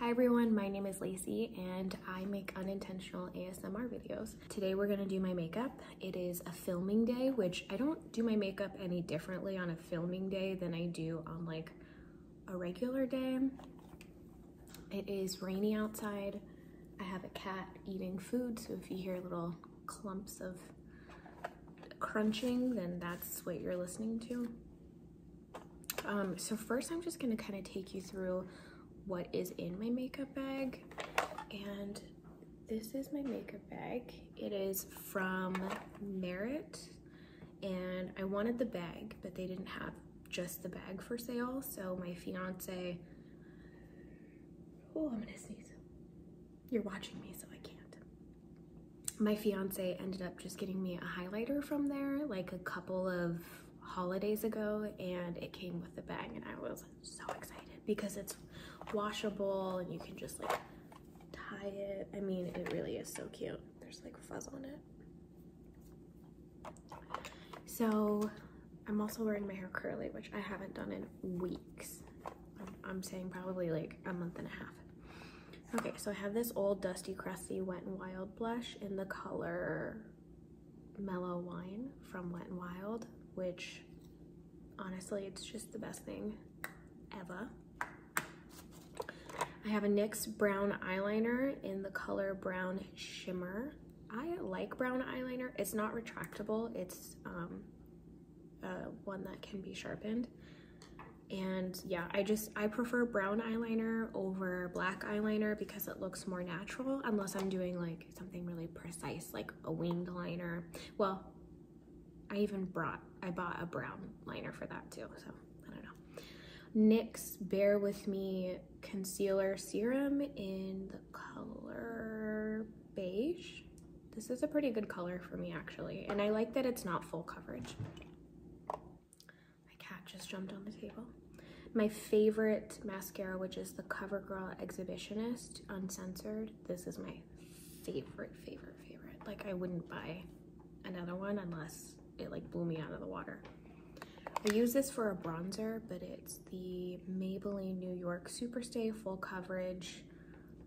Hi everyone, my name is Lacey and I make unintentional ASMR videos. Today we're gonna do my makeup. It is a filming day, which I don't do my makeup any differently on a filming day than I do on like a regular day. It is rainy outside. I have a cat eating food, so if you hear little clumps of crunching, then that's what you're listening to. Um, so first I'm just gonna kind of take you through what is in my makeup bag. And this is my makeup bag. It is from Merit and I wanted the bag, but they didn't have just the bag for sale. So my fiance, oh, I'm gonna sneeze. You're watching me, so I can't. My fiance ended up just getting me a highlighter from there like a couple of holidays ago and it came with a bag and I was so excited because it's washable and you can just like tie it. I mean, it really is so cute. There's like fuzz on it. So I'm also wearing my hair curly, which I haven't done in weeks. I'm saying probably like a month and a half Okay, so I have this old Dusty Crusty Wet n Wild blush in the color Mellow Wine from Wet n Wild, which honestly, it's just the best thing ever. I have a NYX brown eyeliner in the color Brown Shimmer. I like brown eyeliner. It's not retractable. It's um, uh, one that can be sharpened and yeah I just I prefer brown eyeliner over black eyeliner because it looks more natural unless I'm doing like something really precise like a winged liner well I even brought I bought a brown liner for that too so I don't know NYX Bear With Me concealer serum in the color beige this is a pretty good color for me actually and I like that it's not full coverage my cat just jumped on the table. My favorite mascara, which is the CoverGirl Exhibitionist Uncensored. This is my favorite, favorite, favorite. Like I wouldn't buy another one unless it like blew me out of the water. I use this for a bronzer, but it's the Maybelline New York Superstay Full Coverage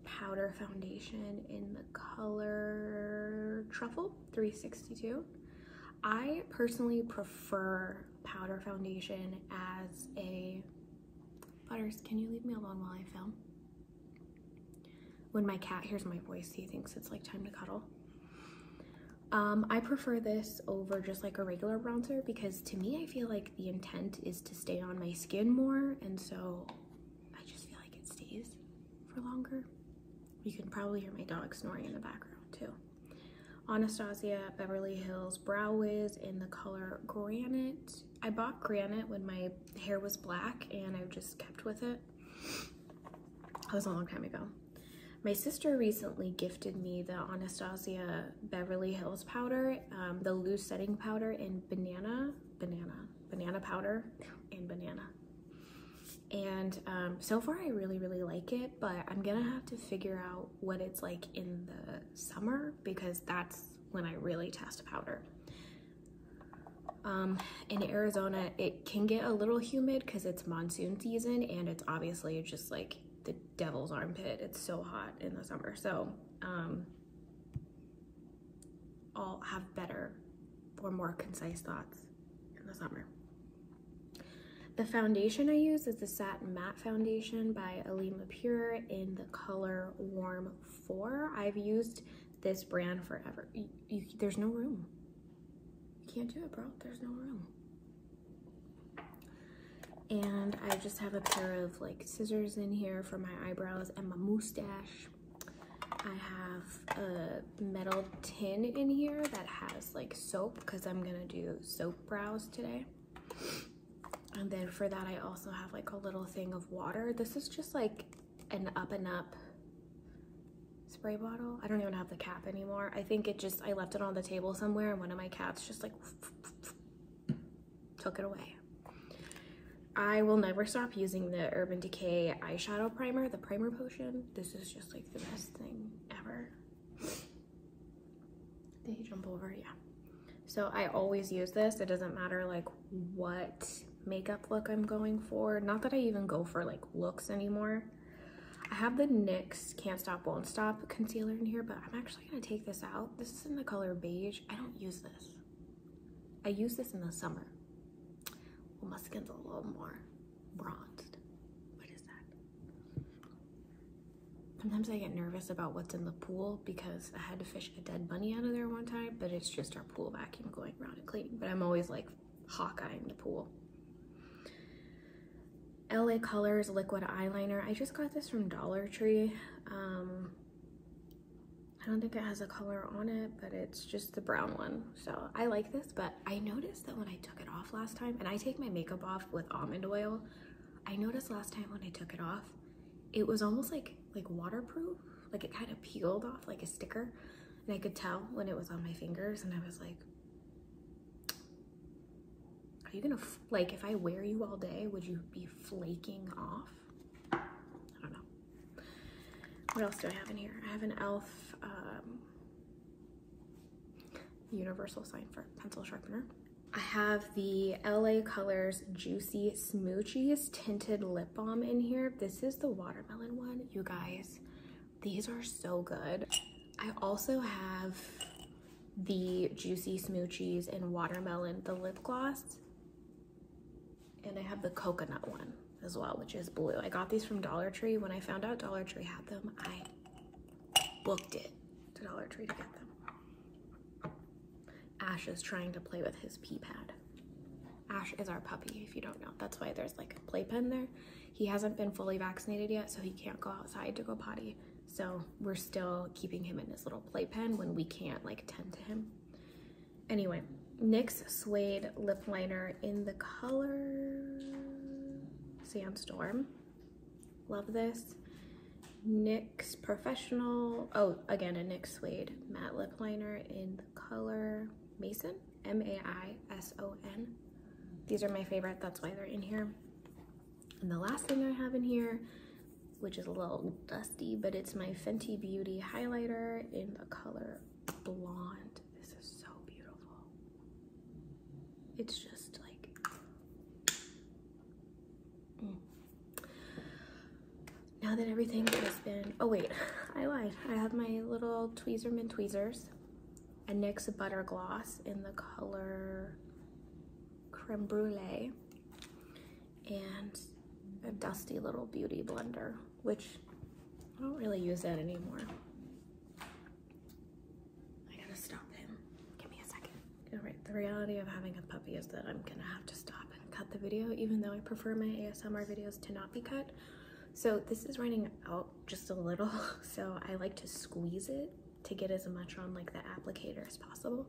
Powder Foundation in the color Truffle. 362. I personally prefer powder foundation as a Butters, can you leave me alone while I film? When my cat hears my voice, he thinks it's like time to cuddle. Um, I prefer this over just like a regular bronzer because to me, I feel like the intent is to stay on my skin more. And so I just feel like it stays for longer. You can probably hear my dog snoring in the background too. Anastasia Beverly Hills Brow Wiz in the color Granite. I bought Granite when my hair was black and i just kept with it. That was a long time ago. My sister recently gifted me the Anastasia Beverly Hills powder, um, the loose setting powder in banana, banana, banana powder, and banana and um, so far I really really like it but I'm gonna have to figure out what it's like in the summer because that's when I really test powder um, in Arizona it can get a little humid because it's monsoon season and it's obviously just like the devil's armpit it's so hot in the summer so um, I'll have better or more concise thoughts in the summer. The foundation I use is the Satin Matte Foundation by Alima Pure in the color Warm 4. I've used this brand forever. there's no room. You can't do it, bro. There's no room. And I just have a pair of like scissors in here for my eyebrows and my mustache. I have a metal tin in here that has like soap because I'm gonna do soap brows today. And then for that, I also have like a little thing of water. This is just like an up and up spray bottle. I don't even have the cap anymore. I think it just, I left it on the table somewhere and one of my cats just like took it away. I will never stop using the Urban Decay eyeshadow primer, the primer potion. This is just like the best thing ever. They jump over, yeah. So I always use this. It doesn't matter like what makeup look I'm going for. Not that I even go for like looks anymore. I have the NYX Can't Stop Won't Stop concealer in here, but I'm actually gonna take this out. This is in the color beige. I don't use this. I use this in the summer. Well, my skin's a little more bronzed. What is that? Sometimes I get nervous about what's in the pool because I had to fish a dead bunny out of there one time, but it's just our pool vacuum going around and cleaning. But I'm always like hawkeyeing the pool. LA Colors Liquid Eyeliner. I just got this from Dollar Tree. Um, I don't think it has a color on it, but it's just the brown one. So I like this, but I noticed that when I took it off last time, and I take my makeup off with almond oil, I noticed last time when I took it off, it was almost like like waterproof, like it kind of peeled off like a sticker. And I could tell when it was on my fingers and I was like, are you gonna, like if I wear you all day, would you be flaking off? I don't know. What else do I have in here? I have an e.l.f. Um, universal sign for pencil sharpener. I have the LA Colors Juicy Smoochies Tinted Lip Balm in here. This is the watermelon one. You guys, these are so good. I also have the Juicy Smoochies and Watermelon, the lip gloss and I have the coconut one as well, which is blue. I got these from Dollar Tree. When I found out Dollar Tree had them, I booked it to Dollar Tree to get them. Ash is trying to play with his pee pad. Ash is our puppy, if you don't know. That's why there's like a play pen there. He hasn't been fully vaccinated yet, so he can't go outside to go potty. So we're still keeping him in his little play pen when we can't like tend to him. Anyway, NYX Suede Lip Liner in the color Sandstorm. Love this. NYX Professional, oh, again, a NYX Suede Matte Lip Liner in the color Mason, M-A-I-S-O-N. These are my favorite, that's why they're in here. And the last thing I have in here, which is a little dust but it's my Fenty Beauty highlighter in the color Blonde. This is so beautiful. It's just like... Mm. Now that everything has been... Oh, wait. I lied. I have my little Tweezerman tweezers. A NYX Butter Gloss in the color Creme Brulee. And a dusty little beauty blender which I don't really use that anymore. I gotta stop him. Give me a second. All right, the reality of having a puppy is that I'm gonna have to stop and cut the video, even though I prefer my ASMR videos to not be cut. So this is running out just a little, so I like to squeeze it to get as much on like the applicator as possible.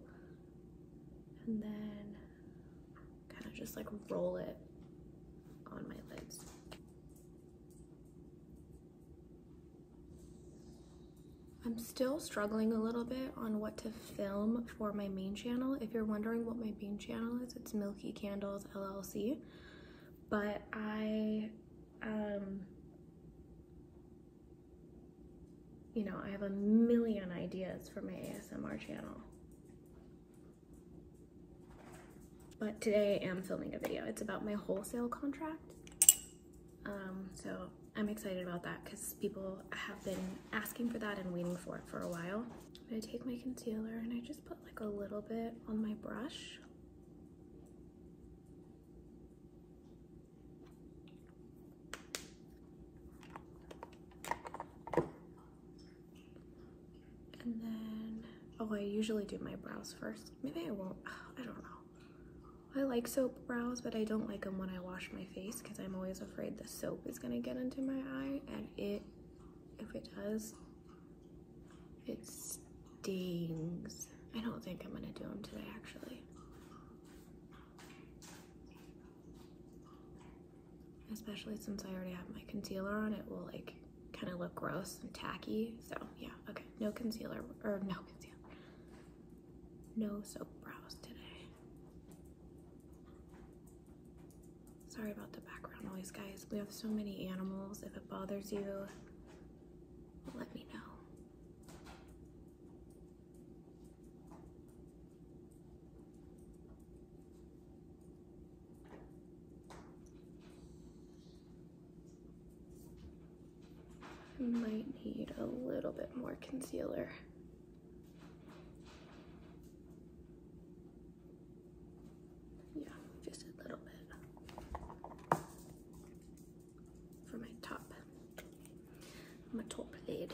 And then kind of just like roll it on my lids. I'm still struggling a little bit on what to film for my main channel. If you're wondering what my main channel is, it's Milky Candles LLC. But I, um, you know, I have a million ideas for my ASMR channel. But today I am filming a video. It's about my wholesale contract. Um, so I'm excited about that because people have been asking for that and waiting for it for a while. i take my concealer and I just put like a little bit on my brush. And then, oh, I usually do my brows first. Maybe I won't. I don't know. I like soap brows, but I don't like them when I wash my face because I'm always afraid the soap is going to get into my eye. And it, if it does, it stings. I don't think I'm going to do them today, actually especially since I already have my concealer on, it will like kind of look gross and tacky. So yeah, okay, no concealer, or no concealer, no soap brows today. Sorry about the background noise, guys. We have so many animals. If it bothers you, let me know. I Might need a little bit more concealer. Yeah, just a little bit. For my top, my top lid.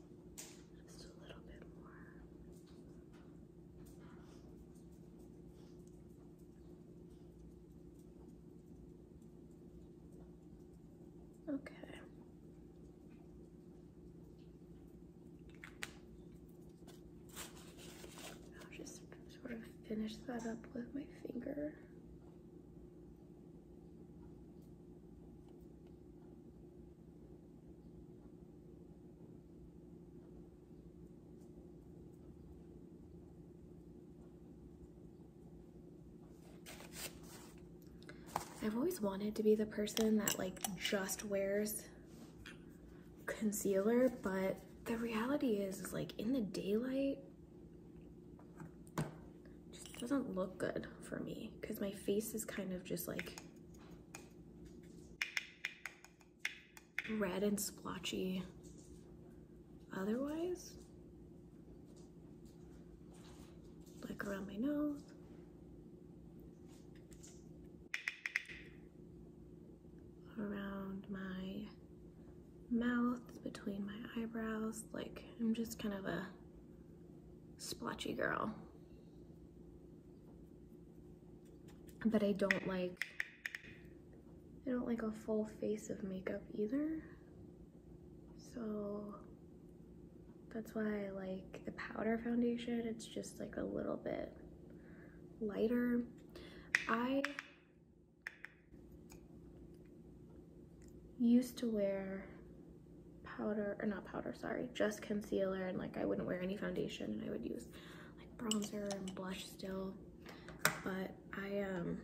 Just a little bit more. Okay. I'll just sort of finish that up with my finger. I've always wanted to be the person that like just wears concealer, but the reality is, is like in the daylight, just doesn't look good for me because my face is kind of just like red and splotchy otherwise. Like around my nose. Around my mouth, between my eyebrows. Like I'm just kind of a splotchy girl. But I don't like, I don't like a full face of makeup either. So that's why I like the powder foundation. It's just like a little bit lighter. I used to wear powder or not powder sorry just concealer and like I wouldn't wear any foundation and I would use like bronzer and blush still but I am um,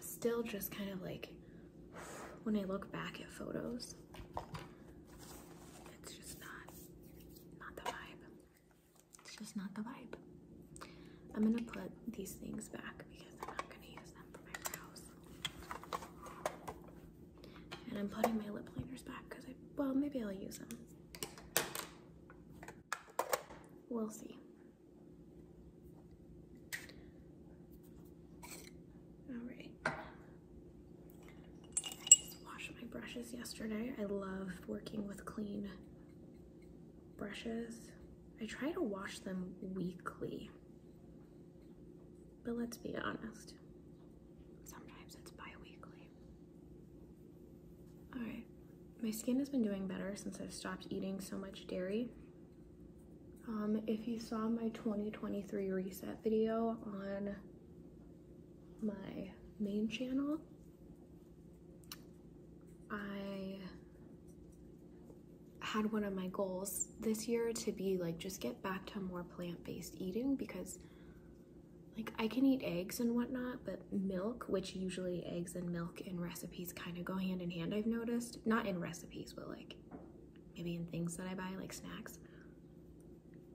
still just kind of like when I look back at photos it's just not not the vibe it's just not the vibe I'm gonna put these things back because I'm not gonna use them for my brows and I'm putting my lip liners back because I, well, maybe I'll use them. We'll see. All right. I just washed my brushes yesterday. I love working with clean brushes. I try to wash them weekly. But let's be honest. Sometimes it's bi Alright. My skin has been doing better since i stopped eating so much dairy. Um, if you saw my 2023 reset video on my main channel, I had one of my goals this year to be like just get back to more plant-based eating because like I can eat eggs and whatnot, but milk, which usually eggs and milk in recipes kind of go hand in hand, I've noticed. Not in recipes, but like maybe in things that I buy, like snacks.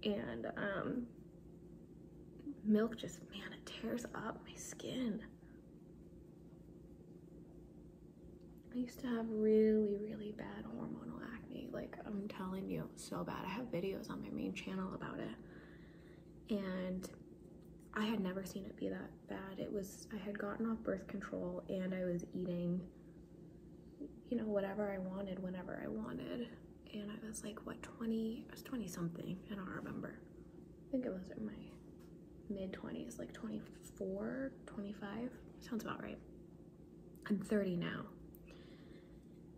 And um, milk just, man, it tears up my skin. I used to have really, really bad hormonal acne. Like, I'm telling you, so bad. I have videos on my main channel about it. And I had never seen it be that bad. It was, I had gotten off birth control and I was eating, you know, whatever I wanted, whenever I wanted. And I was like, what, 20? I was 20 something. I don't remember. I think it was in my mid 20s, like 24, 25, sounds about right. I'm 30 now.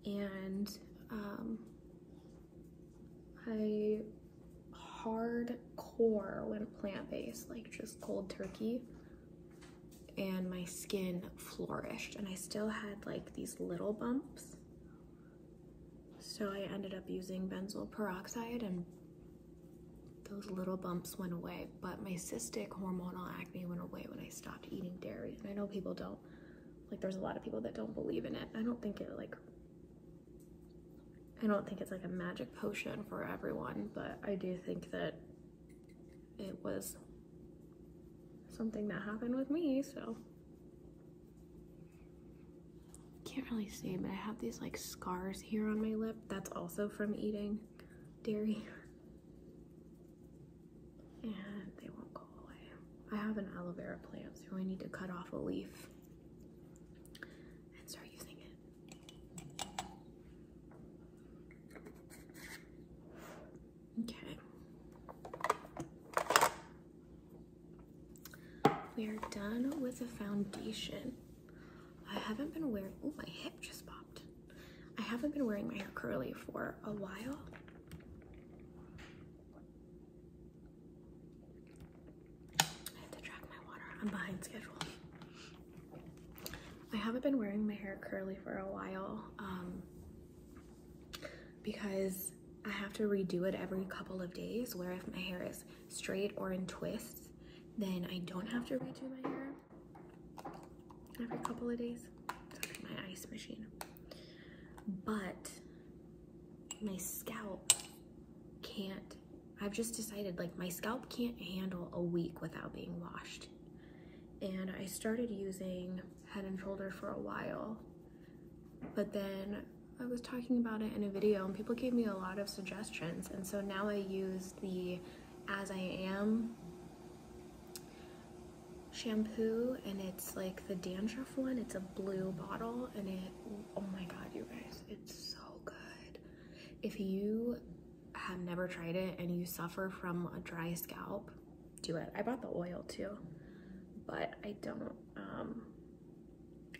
And um, I hardcore went plant-based, like just cold turkey. And my skin flourished and I still had like these little bumps. So I ended up using benzoyl peroxide and those little bumps went away, but my cystic hormonal acne went away when I stopped eating dairy. And I know people don't, like there's a lot of people that don't believe in it. I don't think it like, I don't think it's like a magic potion for everyone, but I do think that it was something that happened with me, so can't really see, but I have these like scars here on my lip. That's also from eating dairy. And they won't go away. I have an aloe vera plant, so I need to cut off a leaf and start using it. Okay. We are done with the foundation. I haven't been wearing, oh, my hip just popped. I haven't been wearing my hair curly for a while. I have to track my water. I'm behind schedule. I haven't been wearing my hair curly for a while um, because I have to redo it every couple of days where if my hair is straight or in twists, then I don't have to redo my hair every couple of days. my ice machine. But my scalp can't, I've just decided like my scalp can't handle a week without being washed. And I started using Head & Shoulders for a while, but then I was talking about it in a video and people gave me a lot of suggestions. And so now I use the As I Am shampoo and it's like the dandruff one. It's a blue bottle and it, oh my God, you guys, it's so good. If you have never tried it and you suffer from a dry scalp, do it. I bought the oil too, but I don't, um,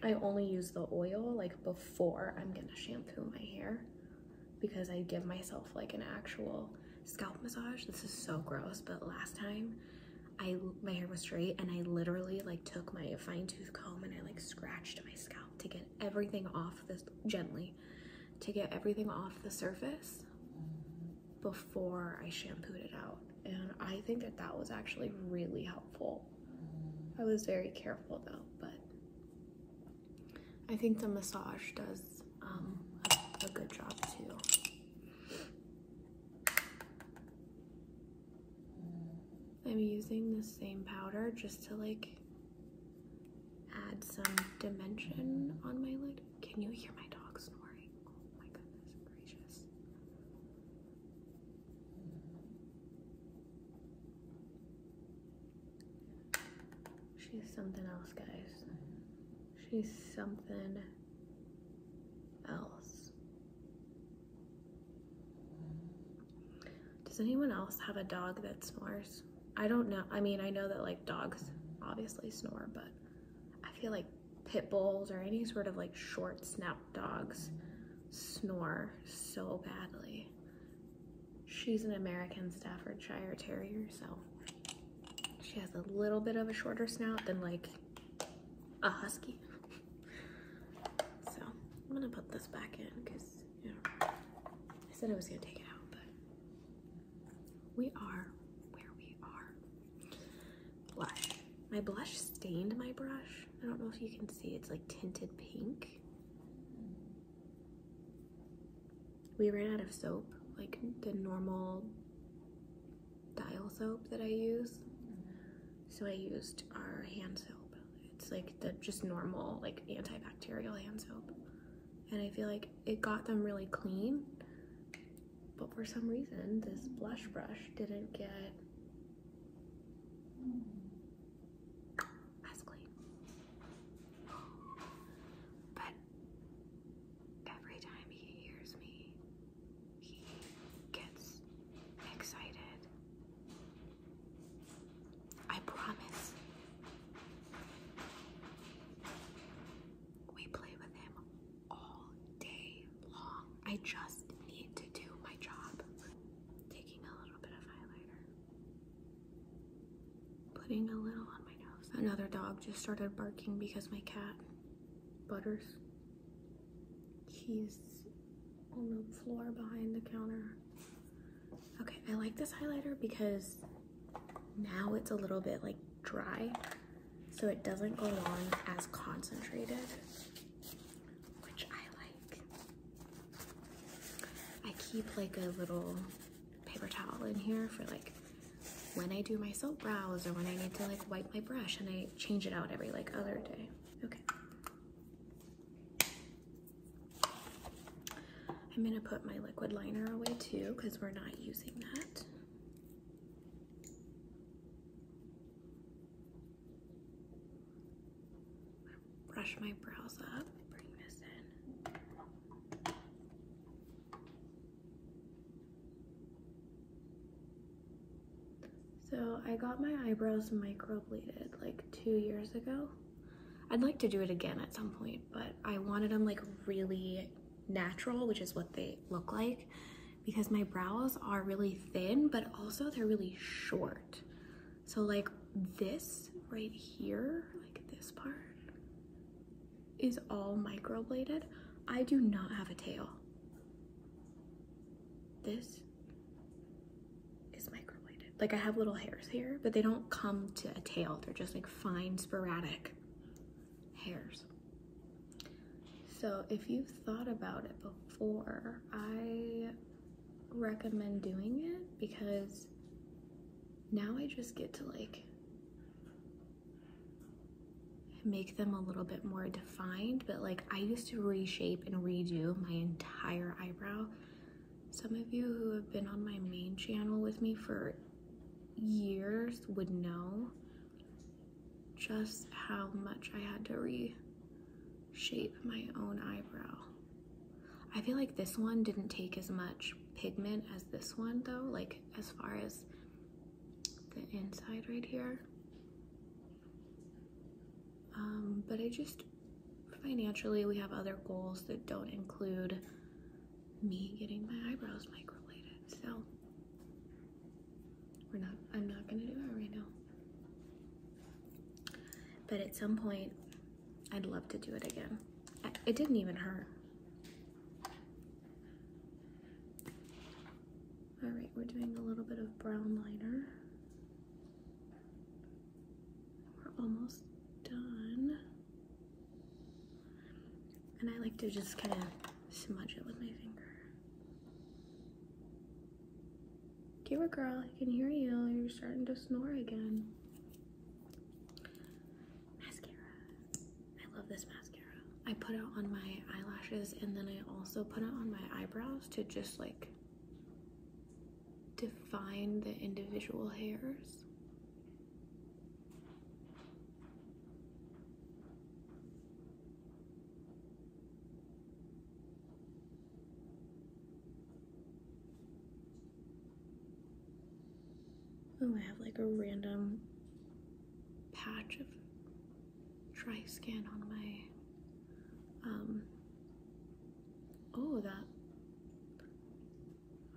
I only use the oil like before I'm gonna shampoo my hair because I give myself like an actual scalp massage. This is so gross, but last time I my hair was straight and I literally like took my fine tooth comb and I like scratched my scalp to get everything off this gently to get everything off the surface before I shampooed it out. And I think that that was actually really helpful I was very careful though, but I think the massage does a, um, a good job too. I'm using the same powder just to like add some dimension on my lid. Can you hear my dog snoring? Oh my goodness gracious. She's something else, guys. She's something else. Does anyone else have a dog that snores? I don't know. I mean, I know that like dogs obviously snore, but I feel like pit bulls or any sort of like short snout dogs snore so badly. She's an American Staffordshire Terrier, so she has a little bit of a shorter snout than like a husky. so I'm gonna put this back in because I said I was gonna take it out, but we are where we are. Blush. My blush stained my brush I don't know if you can see, it's like tinted pink. We ran out of soap, like the normal dial soap that I use. So I used our hand soap. It's like the just normal like antibacterial hand soap. And I feel like it got them really clean. But for some reason, this blush brush didn't get Basically. But every time he hears me, he gets excited. I promise. We play with him all day long. I just need to do my job taking a little bit of highlighter, putting a little on my nose. Another dog just started barking because my cat, Butters, he's on the floor behind the counter. Okay, I like this highlighter because now it's a little bit like dry so it doesn't go on as concentrated which I like. I keep like a little paper towel in here for like when I do my soap brows or when I need to like wipe my brush and I change it out every like other day. Okay. I'm gonna put my liquid liner away too because we're not using that brush my brows up, So I got my eyebrows microbladed like two years ago. I'd like to do it again at some point, but I wanted them like really natural, which is what they look like because my brows are really thin, but also they're really short. So like this right here, like this part, is all microbladed. I do not have a tail. This is microbladed. Like I have little hairs here, but they don't come to a tail. They're just like fine sporadic hairs. So if you've thought about it before, I recommend doing it because now I just get to like make them a little bit more defined, but like I used to reshape and redo my entire eyebrow. Some of you who have been on my main channel with me for years would know just how much I had to reshape my own eyebrow. I feel like this one didn't take as much pigment as this one though, like as far as the inside right here. Um, but I just, financially, we have other goals that don't include me getting my eyebrows microbladed. So we're not, I'm not gonna do that right now. But at some point, I'd love to do it again. it didn't even hurt. All right, we're doing a little bit of brown liner. We're almost done. And I like to just kind of smudge it with my finger. Give girl. I can hear you. You're starting to snore again. Mascara. I love this mascara. I put it on my eyelashes and then I also put it on my eyebrows to just like define the individual hairs. Oh, I have like a random patch of dry skin on my, um, oh, that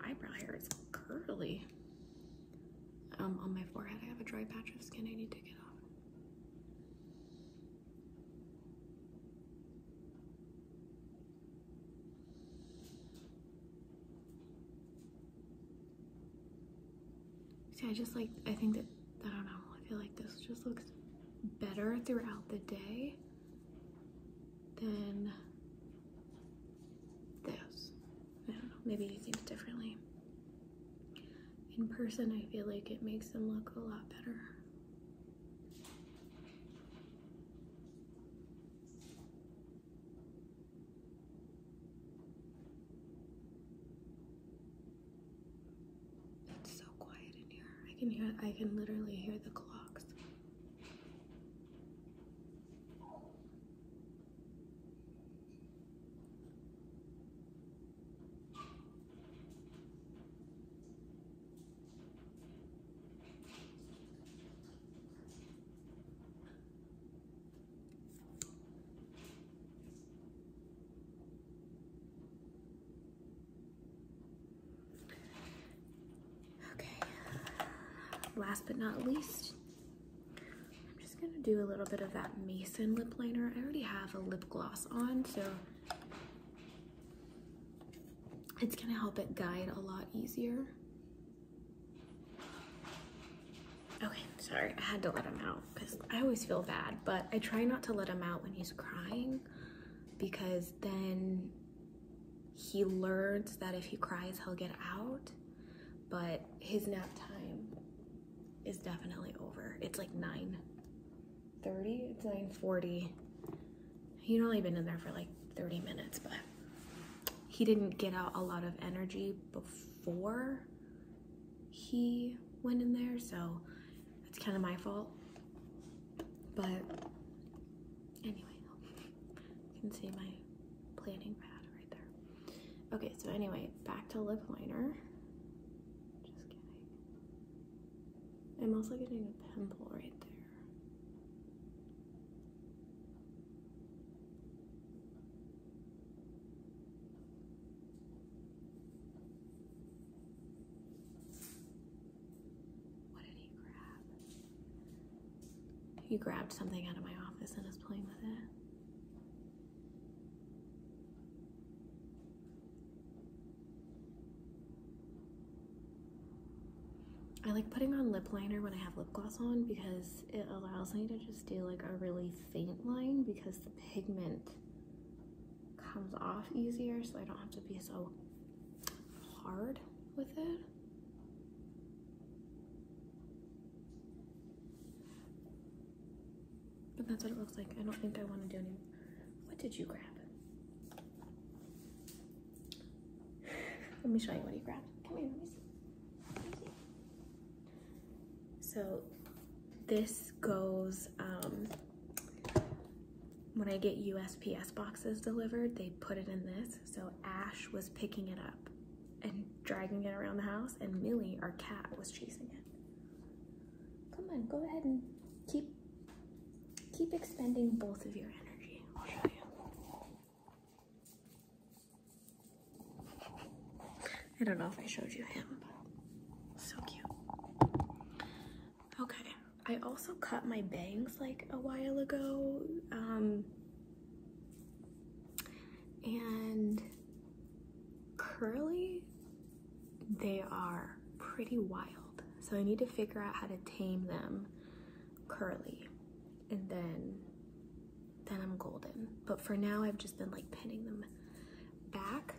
eyebrow hair is curly. Um, on my forehead, I have a dry patch of skin I need to get off. See, I just like, I think that, I don't know, I feel like this just looks better throughout the day than this. I don't know, maybe you think differently in person, I feel like it makes them look a lot better. It's so quiet in here. I can hear, I can literally hear the clocks. Okay, uh, last but not least, I'm just gonna do a little bit of that Mason lip liner. I already have a lip gloss on, so it's gonna help it guide a lot easier. Okay, sorry, I had to let him out because I always feel bad, but I try not to let him out when he's crying because then he learns that if he cries, he'll get out. But his nap time is definitely over. It's like 9 30, it's 9 40. He'd only been in there for like 30 minutes, but he didn't get out a lot of energy before he went in there, so it's kind of my fault. But anyway, you can see my planning pad Okay, so anyway, back to lip liner. I'm also getting a pimple right there. What did he grab? He grabbed something out of my office and was playing with it. I like putting on lip liner when I have lip gloss on because it allows me to just do like a really faint line because the pigment comes off easier so I don't have to be so hard with it. But that's what it looks like. I don't think I want to do any. What did you grab? Let me show you what he grabbed. Come here, Let me see. So this goes, um, when I get USPS boxes delivered, they put it in this. So Ash was picking it up and dragging it around the house, and Millie, our cat, was chasing it. Come on, go ahead and keep keep expending both of your energy. I'll show you. I don't know if I showed you him, so cute. Okay, I also cut my bangs like a while ago. Um, and curly, they are pretty wild. So I need to figure out how to tame them curly and then then I'm golden. But for now, I've just been like pinning them back.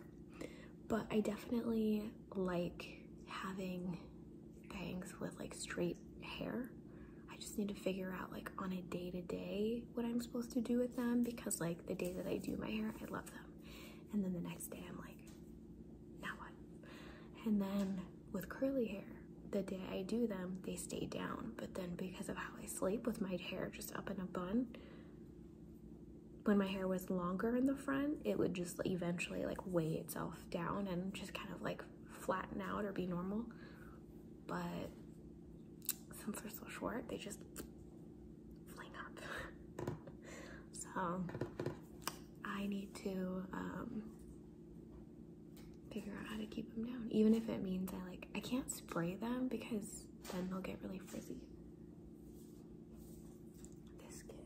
But I definitely like having bangs with like straight hair. I just need to figure out like on a day to day what I'm supposed to do with them because like the day that I do my hair, I love them. And then the next day I'm like, now what? And then with curly hair, the day I do them, they stay down. But then because of how I sleep with my hair just up in a bun, when my hair was longer in the front, it would just eventually like weigh itself down and just kind of like flatten out or be normal. But since they're so short, they just fling up. so I need to um, figure out how to keep them down, even if it means I like, I can't spray them because then they'll get really frizzy. This kid.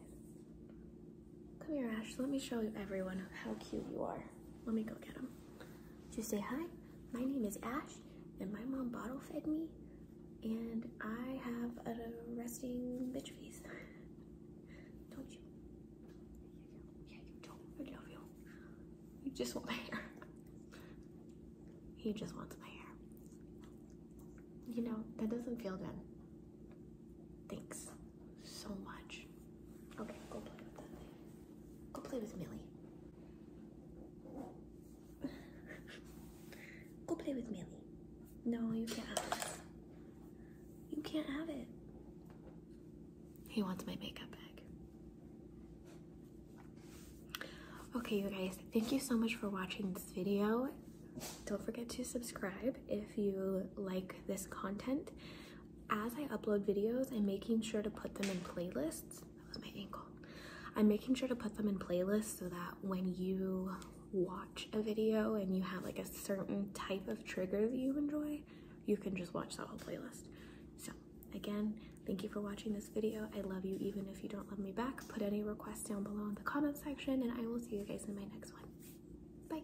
Come here, Ash, let me show everyone how cute you are. Let me go get him. Just say hi. My name is Ash, and my mom bottle fed me, and I have a resting bitch face. Don't you? Yeah, you don't. I love you. You just want my hair. he just wants my hair. You know, that doesn't feel good. Thanks so much. Okay, go play with that thing. Go play with Millie. Go play with Millie. No, you can't You can't have it. He wants my makeup bag. Okay, you guys, thank you so much for watching this video. Don't forget to subscribe if you like this content. As I upload videos, I'm making sure to put them in playlists that was my ankle. I'm making sure to put them in playlists so that when you watch a video and you have like a certain type of trigger that you enjoy, you can just watch that whole playlist. So again, thank you for watching this video. I love you even if you don't love me back. Put any requests down below in the comment section and I will see you guys in my next one. Bye.